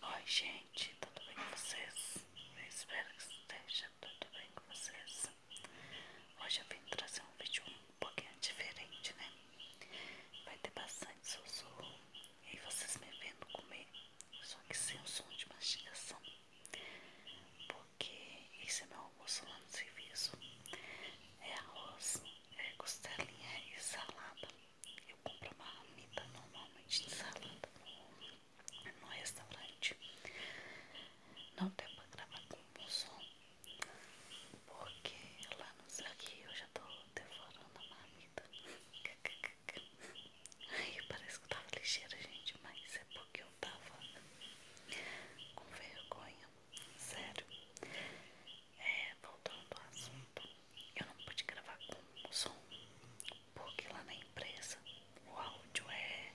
Oi, gente, tudo bem com vocês? Eu espero que esteja tudo bem com vocês. Hoje eu vim trazer um vídeo um pouquinho diferente, né? Vai ter bastante sussurro e vocês me vendo comer, só que sem o som de mastigação, porque esse é meu almoço lá no serviço. É arroz, é costelinha e salada. Eu compro uma ramita normalmente de salada no restaurante. Não deu pra gravar com o som, porque lá nos aqui eu já tô devorando a marmita. Aí parece que eu tava ligeira, gente, mas é porque eu tava com vergonha. Sério. É, voltando ao assunto, eu não pude gravar com som, porque lá na empresa o áudio é.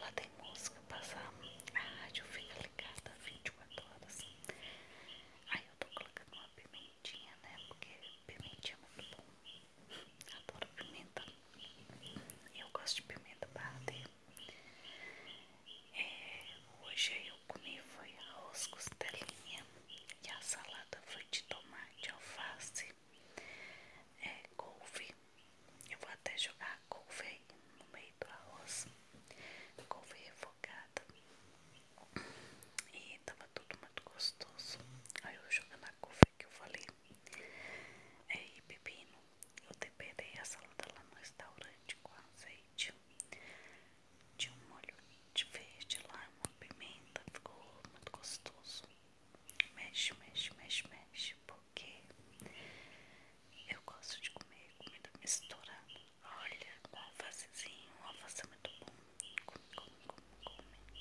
Lá tem música, passar a rádio, fica ligada 24 horas. Aí eu tô colocando uma pimentinha, né? Porque pimentinha é muito bom. Adoro pimenta. Eu gosto de pimenta para é, Hoje eu comi foi arroz, costelinha, e a salada foi de tomate, alface, é, couve. Eu vou até jogar couve no meio do arroz. Couve refogada. E tava tudo muito gostoso. Aí eu jogando a couve que eu falei. É, e pepino. Eu temperei a salada lá no restaurante com azeite de um molho de verde lá, uma pimenta, ficou muito gostoso. Mexe, mexe, mexe, mexe, porque eu gosto de comer comida misturada. Olha, com alfacezinho, um alface é muito bom. Come, come, come, come.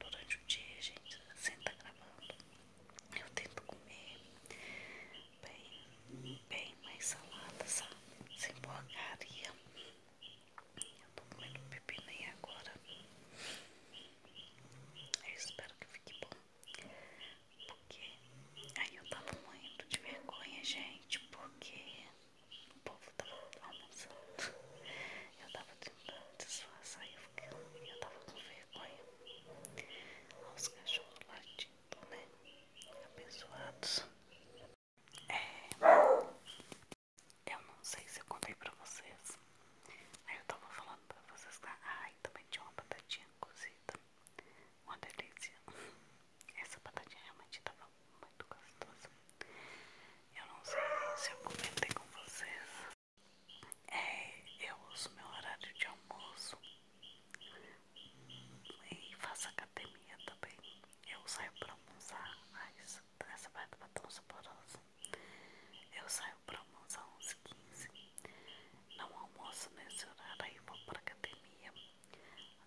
Durante o dia, gente, senta gravando, eu tento comer bem, bem mais salada, sabe? Sem porcaria. Eu tô comendo pepino agora. Eu espero que fique bom. Porque aí eu tava muito de vergonha, gente, porque o povo tava almoçando. Eu tava tentando disfarçar e eu, fiquei, eu tava com vergonha. Olha os cachorros latindo, né? Abençoados. É, eu não sei se eu contei pra vocês. Aí eu tava falando pra vocês lá. Tá? Ai, também tinha uma batatinha cozida. Uma delícia. Essa batatinha realmente tava muito gostosa. Eu não sei se eu comentei com vocês. É, eu uso meu horário de almoço e faço a academia também. Eu saio para almoçar, ai essa parte tá tão saborosa. Eu saio para almoçar uns 15. Não almoço nesse horário, aí vou para academia.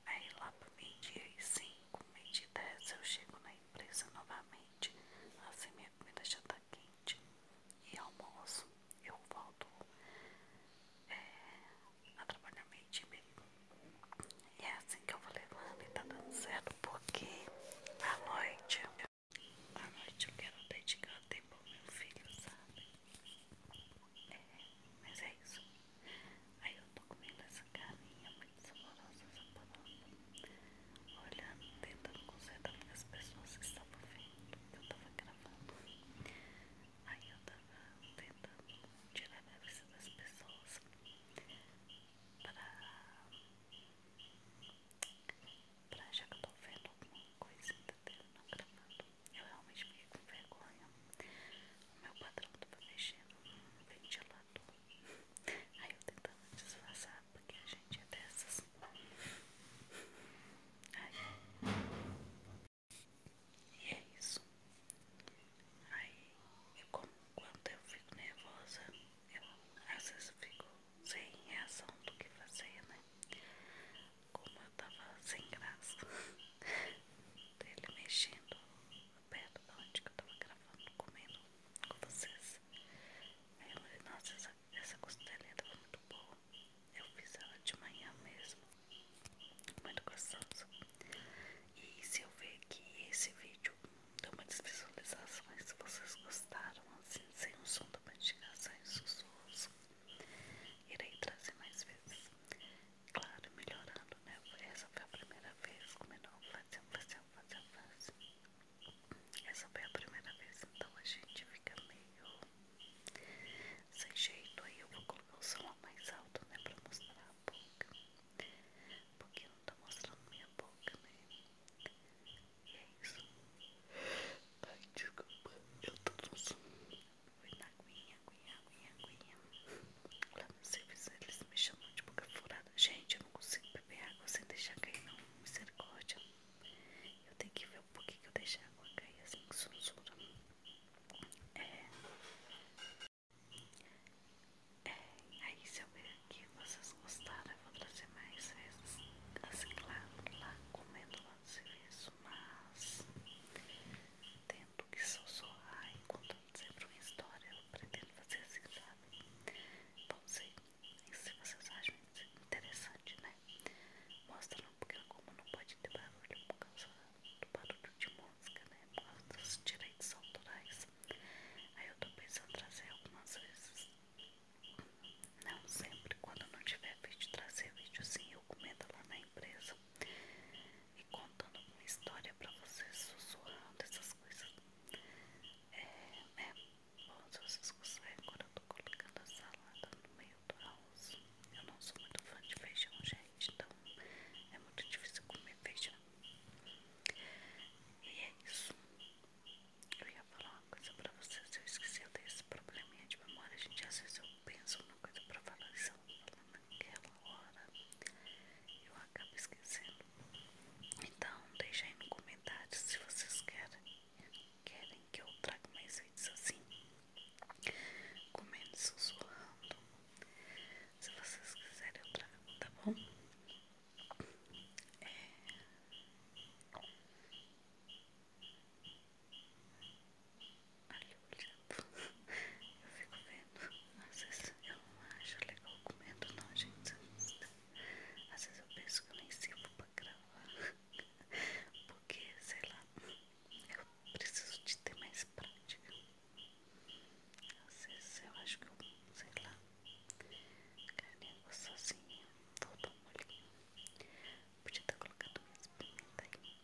Aí lá pro meio-dia e 5, meio-dia e 10 eu chego na empresa novamente. Assim minha comida já está quente. E almoço, eu volto é, a trabalhar meio time. E é assim que eu vou levando e tá dando certo, porque à noite, à noite eu quero dedicar tempo ao meu filho, sabe? É, mas é isso. Aí eu tô comendo essa carninha muito saborosa, saborosa. Olhando, tentando consertar porque as pessoas estavam vendo que eu tava gravando. Aí eu tava tentando tirar a cabeça das pessoas pra, pra achar que eu tô vendo alguma coisinha entendeu? Não gravando. Eu realmente fiquei com vergonha. O meu patrão tava mexendo no ventilador. Aí eu tentando disfarçar porque a gente é dessas. aí e é isso. Aí, eu é como, quando eu fico nervosa, eu às vezes fico sem reação do que fazer, né? Como eu tava sem graça dele mexendo perto da onde que eu tava gravando, comendo com vocês. Aí eu falei, nossa, essa, essa costelinha tá muito boa. Eu fiz ela de manhã mesmo muito gostoso. E se eu ver que esse vídeo deu muitas visualizações, se vocês gostaram, assim, sem o som da mastigação e sussurros, irei trazer mais vezes. Claro, melhorando, né? Essa foi a primeira vez, como eu não fazer fazer fazer fazia. Essa foi a primeira vez, então a gente fica meio sem jeito. Aí eu vou colocar o som mais alto, né? Pra mostrar porque eu não tá mostrando minha boca, né? E é isso Ai, desculpa Eu tô tossindo Foi na aguinha, aguinha, aguinha, aguinha não sei serviço eles me chamam de boca furada Gente, eu não consigo beber água sem deixar cair não Misericórdia Eu tenho que ver por que eu deixei a água cair assim, que sonsura é, é, aí se eu ver aqui vocês gostaram, eu vou trazer mais vezes. Assim, claro, lá comendo lá no serviço, mas tento que sussurrar e contando sempre uma história, eu pretendo fazer assim, sabe? Bom, se vocês acham interessante, né? Mostrando porque como não pode ter barulho por causa do barulho de música, né? Por causa dos direitos autorais. Aí eu tô pensando em trazer algumas vezes. Não sempre, quando não tiver vídeo, trazer vídeo sim, eu comento lá na empresa. E contando uma história pra vocês, sussurrando essas coisas. É, né? Bom, se vocês gostarem, agora eu tô colocando a salada no meio do almoço Eu não sou muito fã de feijão, gente então é muito difícil comer feijão. Né? E é isso. Eu ia falar uma coisa pra vocês, eu esqueci, eu esse probleminha de memória, a gente, às vezes eu penso numa coisa pra falar e se eu não naquela hora, eu acabo esquecendo. Então, deixa aí no comentário se vocês querem, querem que eu traga mais vídeos assim comendo, sussurrando. Se vocês quiserem, eu trago, tá bom? É... Olha olhando, eu fico vendo. Às vezes eu não acho legal comendo, não, gente. Às vezes eu penso que eu nem sirvo pra gravar, porque sei lá, eu preciso de ter mais prática. Às vezes eu acho que eu, sei lá, carrego sozinha, todo molhinho. Podia ter colocado mais pimenta aí.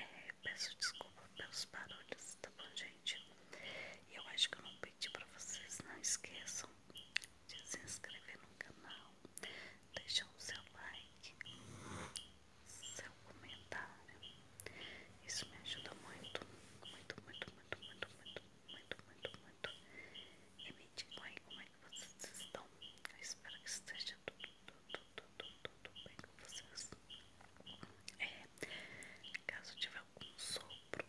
É, peço desculpa pelos barulhos, tá bom, gente? E eu acho que eu não pedi pra vocês, não esqueçam de se inscrever no canal, deixar o seu like seu comentário. Isso me ajuda muito, muito, muito, muito, muito, muito, muito, muito, muito. E me digam como é que vocês estão. Eu espero que esteja tudo, tudo, tudo, tudo bem com vocês. É, caso tiver algum sopro,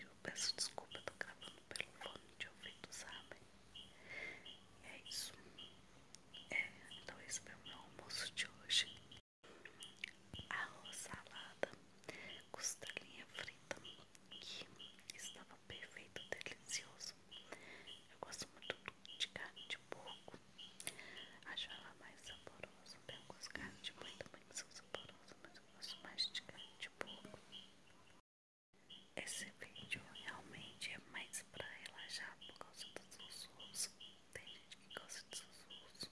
eu peço desculpa, eu tô gravando pelo fone de ouvido, sabe? E é isso. É, então isso foi o meu almoço de hoje. Arroz, salada, costelinha frita, que estava perfeito, delicioso. Eu gosto muito de carne de porco. Acho ela mais saborosa. Tem algumas carnes de boi também que são saborosas, mas eu gosto mais de carne de porco. Esse vídeo realmente é mais pra relaxar por causa dos sussurros tem gente que gosta de sussurros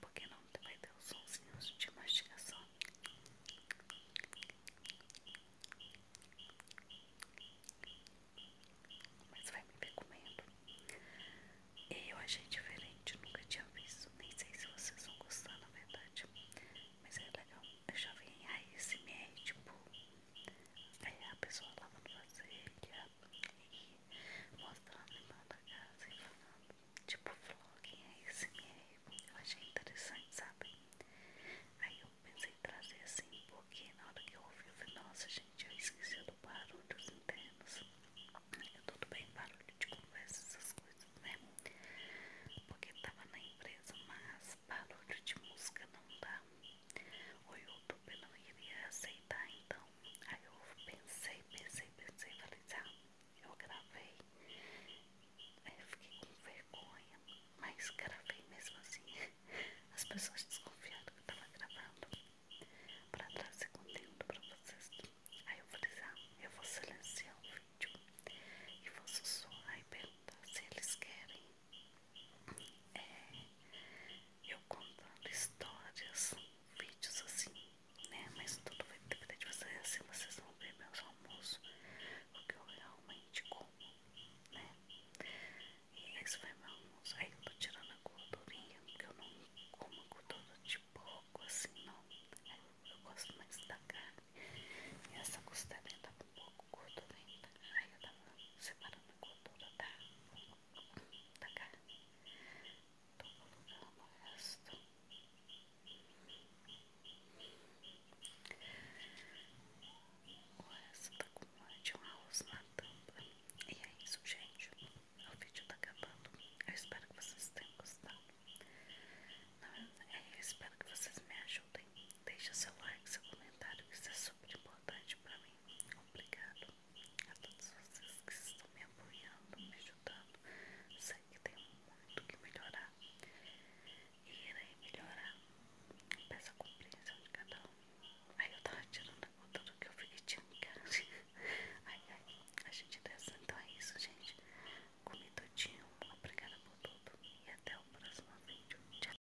Porque não vai ter os sonzinhos de mastigação Mas vai me ver comendo E eu achei diferente, nunca tinha visto Nem sei se vocês vão gostar na verdade Mas é legal, eu já vi em ASMR tipo aí a pessoa lavando você é, e mostrando em mão da casa e falando, tipo, vlog ASMR. É eu achei interessante, sabe? Aí eu pensei em trazer assim, porque na hora que eu ouvi, eu falei, nossa gente, eu esqueci do barulho dos internos. Eu tudo bem, barulho de conversa, essas coisas, né? Porque tava na empresa, mas esse barulho de música não dá. O YouTube não iria aceitar, então. Aí eu pensei, pensei, pensei, falei, ah, eu gravei. Aí é, fiquei com vergonha, mas gravei mesmo assim. As pessoas desconfiaram que eu tava gravando para trazer conteúdo para vocês. Aí eu falei, ah, eu vou silenciar o vídeo e vou suar e perguntar se eles querem é, eu contando histórias, vídeos assim, né? Mas tudo vai depender de vocês, assim vocês vão ver meus almoços, o que eu realmente como, né? E esse foi meu almoço. Aí eu tô tirando a gordurinha, porque eu não como a gordura de pouco, assim, não. Eu gosto mais da carne. E essa costelinha tá com um pouco pouco gordurenta. Aí eu tava separando a gordura da, da carne. Tô colocando o resto. O resto tá com de um arroz na tampa. E é isso, gente. O vídeo tá acabando. Eu espero que vocês tenham gostado. Eu espero que vocês me ajudem. deixe seu like, seu comentário, que isso é super importante pra mim. Obrigado a todos vocês que estão me apoiando, me ajudando. Sei que tem muito que melhorar e irei melhorar. Peço a compreensão de cada um. Aí eu tava tirando a conta do que eu fiquei tirando, cara. Ai, ai, a gente dessa. Então é isso, gente. Comi todinho. Obrigada por tudo. E até o próximo vídeo. Tchau.